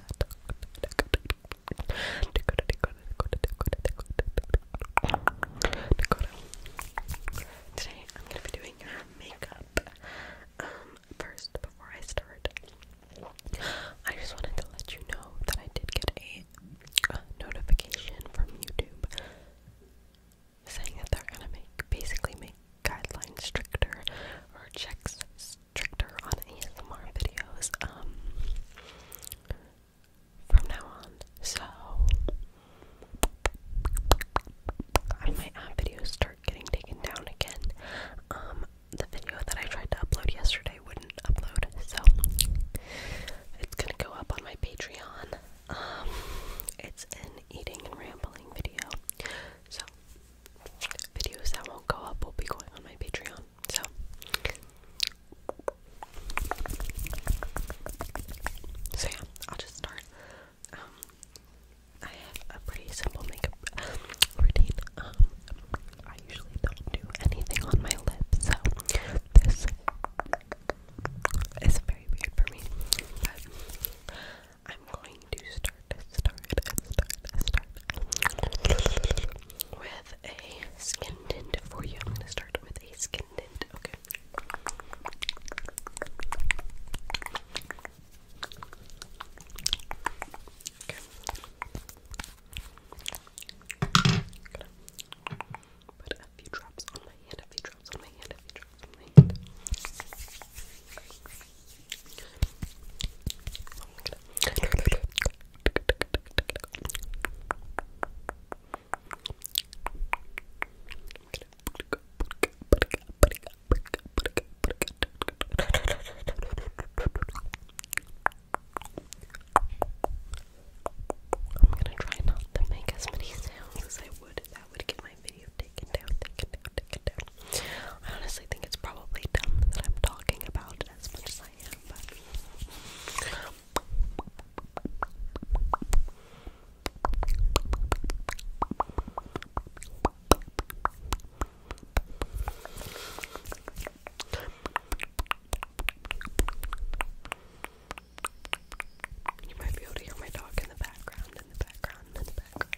Today I'm gonna be doing your makeup. Um, first, before I start, I just wanted to let you know that I did get a, uh, notification from YouTube saying that they're gonna make basically make guidelines stricter or checks stricter on ASMR videos um, from now on. So, I might videos start getting taken down again. Um, the video that I tried to upload yesterday wouldn't upload, so it's gonna go up on my Patreon. Um, it's an eating and rambling video. So, videos that won't go up will be going on my Patreon. So So yeah, I'll just start. Um I have a pretty simple makeup routine. Um I usually don't do anything on my lips, so this is very weird for me. I'm going to start, start, start, start with a skin tint for you. I'm going to start with a skin tint, okay? Okay. I'm gonna put a few drops on my hand, a few drops on my hand, a few Wait. I'm gonna try not to make as many sounds as I would. That would give I honestly think it's probably dumb that I'm talking about it as much as I am, but you might be able to hear my dog in the background, in the background, in the background.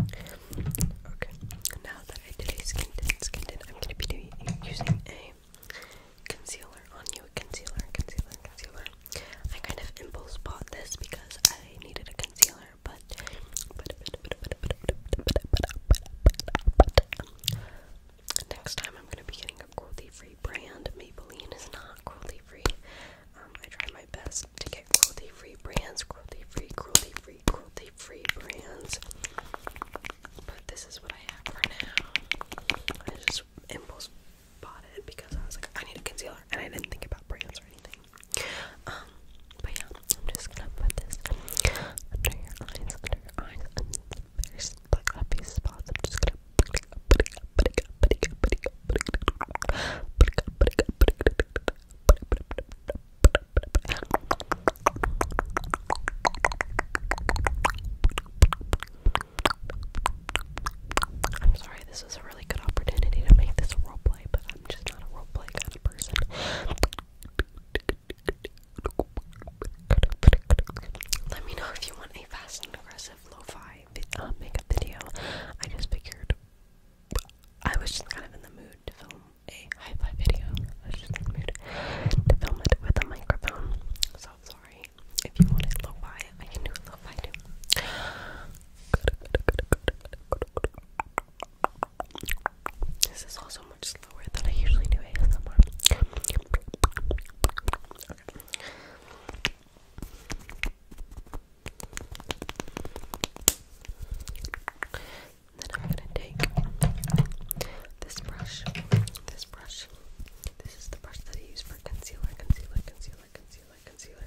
Okay, now that I did a skin tint, skin tint, I'm going to be doing, using a concealer on you. Concealer, concealer, concealer. I kind of impulse bought this because I needed a concealer, but but but but but but but but but but but next time I'm gonna be getting a cruelty-free brand. Maybelline is not cruelty-free. Um, I try my best to get cruelty-free brands, cruelty-free, cruelty-free, cruelty-free brands. But this is what I have for now. I just impulse bought it because I was like, I need a concealer, and I didn't think about brands or anything. Um, but yeah, I'm just gonna put this under your eyes, under your eyes, there's like happy spots. I'm just gonna I'm sorry, this is a really good opportunity to make this a roleplay, but I'm just not a roleplay kind of person. Let me know if you want a fast and aggressive lo-fi um, makeup video. I just figured I was just kind of in the mood to film a high five video. I was just in the mood to film it with a microphone. So I'm sorry. If you want it lo-fi, I can do it lo-fi too. This is also much slower than I usually do ASMR. Then I'm gonna take this brush. This brush. This is the brush that I use for concealer, concealer, concealer, concealer, concealer.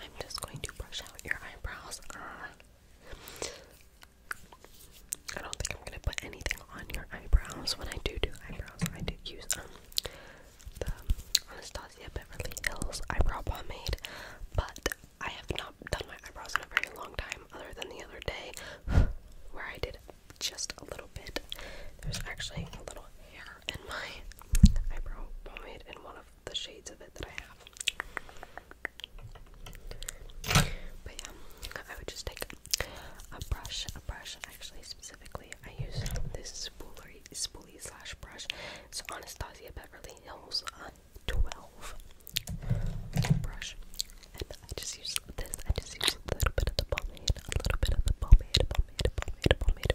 I'm just going to brush out your eyebrows. I don't think I'm gonna put anything on your eyebrows. When I do do eyebrows, I do use um, the Anastasia Beverly Hills eyebrow pomade, but I have not done my eyebrows in a very long time, other than the other day where I did just a little bit. There's actually a little hair and my eyebrow pomade in one of the shades of it that I have. But yeah, I would just take a brush, a brush. Actually, specifically, I use this spoolery, spoolie slash brush. It's Anastasia Beverly Hills uh, 12 brush, and I just use this. I just use a little bit of the pomade, a little bit of the pomade, pomade, pomade, pomade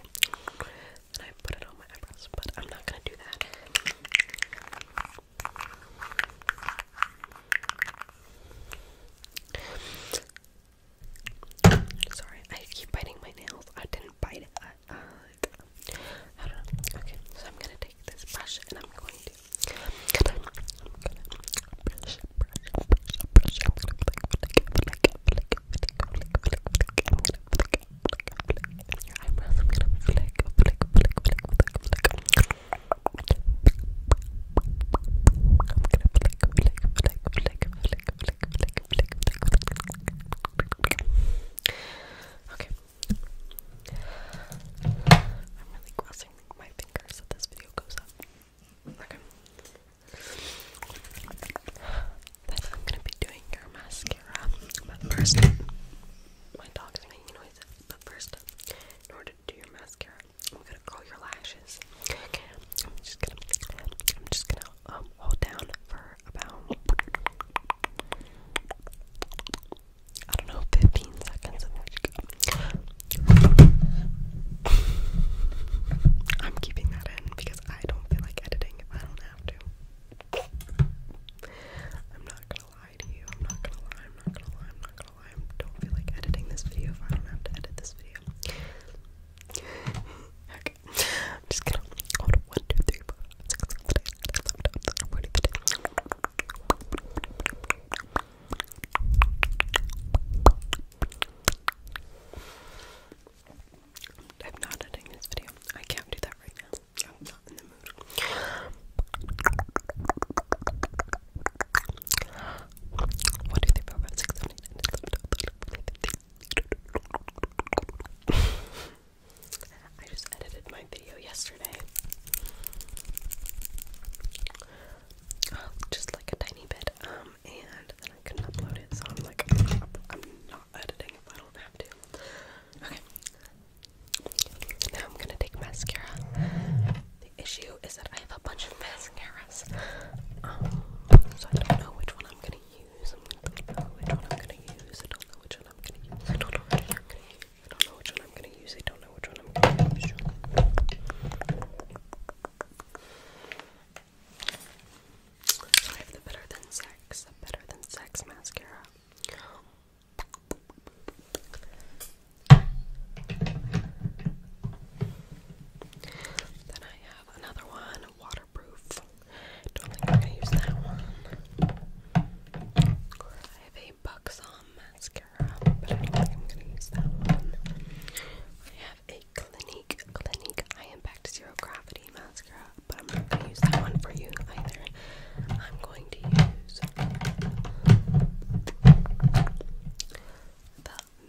and I put it on my eyebrows, but I'm not gonna do that. Sorry, I keep biting my nails. I didn't bite it. I, don't know. so I'm gonna take this brush and I'm going to. flick, flick, flick, flick, flick. I'm gonna flick, flick, flick. Your eyebrows, I'm gonna flick, flick, flick, flick, flick, flick. I'm gonna flick, flick, flick, flick, flick, flick, flick, flick, flick. Okay. I'm really crossing my fingers that this video goes up. Okay. Then I'm gonna be doing your mascara. But first, my dog is making noises. But first, in order to do your mascara, I'm gonna curl your lashes. I'm just gonna, I'm just gonna um, hold down for about, I don't know, 15 seconds. I'm keeping that in because. I don't feel like editing if I don't have to. I'm not gonna lie to you. I'm not gonna lie. I'm not gonna lie. I'm not gonna lie. I don't feel like editing this video if I don't have to edit this video. okay. I'm just gonna hold one, two, three, four, six, seven, eight, nine, forty, I'm not editing this video. I can't do that right now. i in the mood. just edited my video yesterday. Oh, just like a tiny bit. Um and then I couldn't upload it, so I'm like, I'm not editing if I don't have to. Okay. Now I'm gonna take mascara. The issue is that I have a bunch of mascaras. Um, so I don't know which one I'm gonna use. I don't know which one I'm gonna use. I don't know which one I'm gonna use. I don't know which one I'm gonna use. I don't know which one I'm gonna use. I don't know which one I'm gonna use. I have the Better Than Sex, the Better Than Sex mascara. Then I have another one, waterproof. Don't think I'm gonna use that one. I have a buxom mascara, but I think I'm gonna use that one. Clinique, Clinique I Am Back to Zero Gravity Mascara, but I'm not going to use that one for you either. I'm going to use the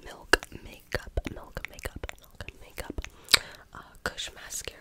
Milk Makeup, Milk Makeup, Milk Makeup uh, Mascara.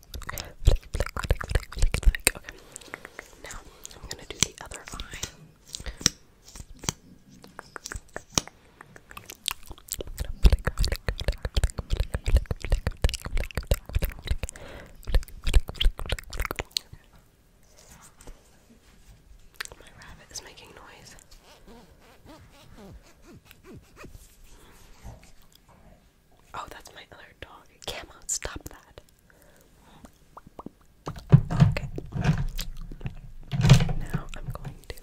Now I'm gonna do the other eye. My rabbit is making noise. Oh, that's my other dog. Camo, stop that. Okay. Now I'm going to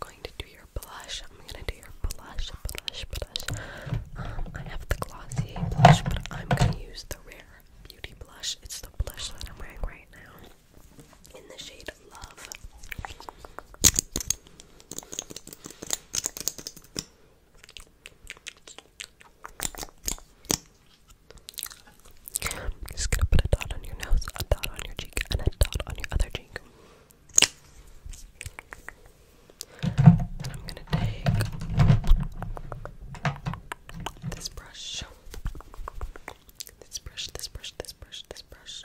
going to do your blush. I'm gonna do your blush, blush, blush. Um, I have the glossy blush, but I'm gonna use the rare beauty blush. It's the blush that I'm wearing right now in the shade Love. I'm just gonna put a dot on your nose, a dot on your cheek, and a dot on your other cheek. And I'm gonna take this brush. This brush, this brush, this brush, this brush.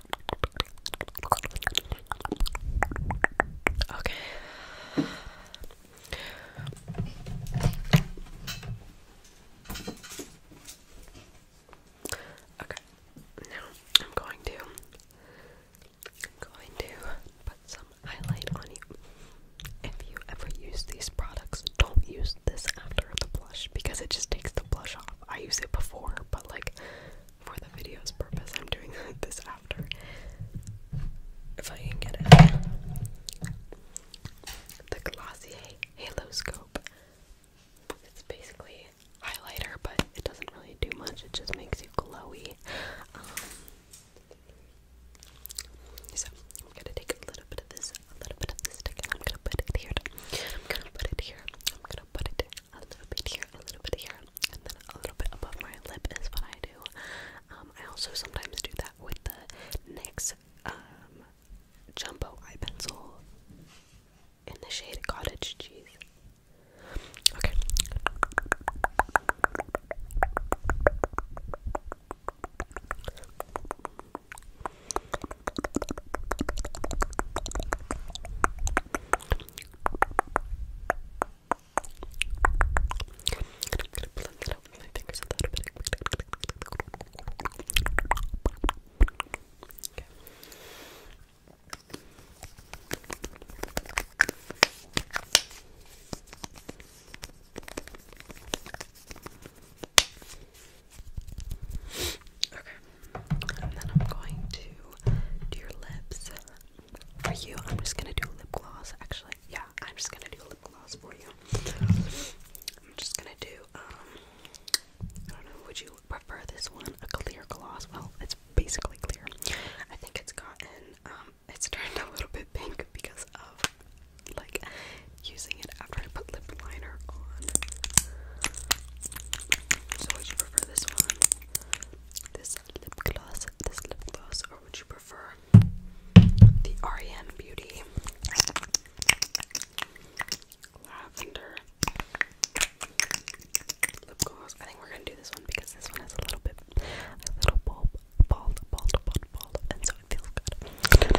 Okay. Okay. Now I'm going to I'm going to put some highlight on you. If you ever use these products, don't use this after the blush because it just takes the blush off. I use it before, but like for the video's purpose, I'm doing this after. If I can get it. The Glossier Halo Scope. It's basically highlighter, but it doesn't really do much. It just makes you glowy. Um, so I'm gonna take a little bit of this, a little bit of this stick, I'm gonna put it here. I'm gonna put it here. I'm gonna put it a little bit here, a little bit here, and then a little bit above my lip is what I do. Um, I also sometimes do that with the NYX um, Jumbo Eye Pencil in the shade Cottage Cheese. Okay gonna blend it out with my fingers a little bit. Okay. Okay. Okay. And then I'm going to do your lips. For you, I'm just gonna do lip gloss. Actually, yeah, I'm just gonna do lip gloss for you. I'm just gonna do, um, I don't know, would you prefer this one? A clear gloss? Well, it's basically clear. I think it's gotten, um, it's turned a little bit pink because of like using it it after I put lip liner on. So would you prefer this one? This lip gloss, this lip gloss, or would you prefer the REM Beauty Lavender Lip Gloss? I think we're gonna do this one because this one has a little bit, a little bulb, bald, bald, bald, bald, and so it feels good. I'm Okay.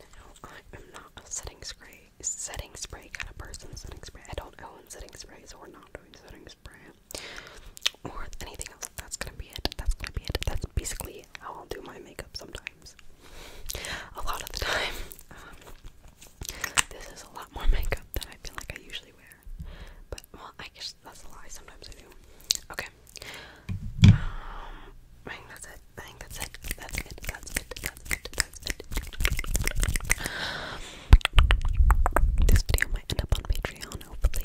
I am not a setting spray, setting spray kind of person. Setting spray. I don't own setting spray, so we're not doing setting or anything else. That's gonna be it. That's gonna be it. That's basically how I'll do my makeup sometimes. A lot of the time. Um, this is a lot more makeup than I feel like I usually wear. But, well, I guess that's a lie. Sometimes I do. Okay. Um, I think that's it. I think That's it. That's it. That's it. That's it. That's it. This video might end up on Patreon. Hopefully,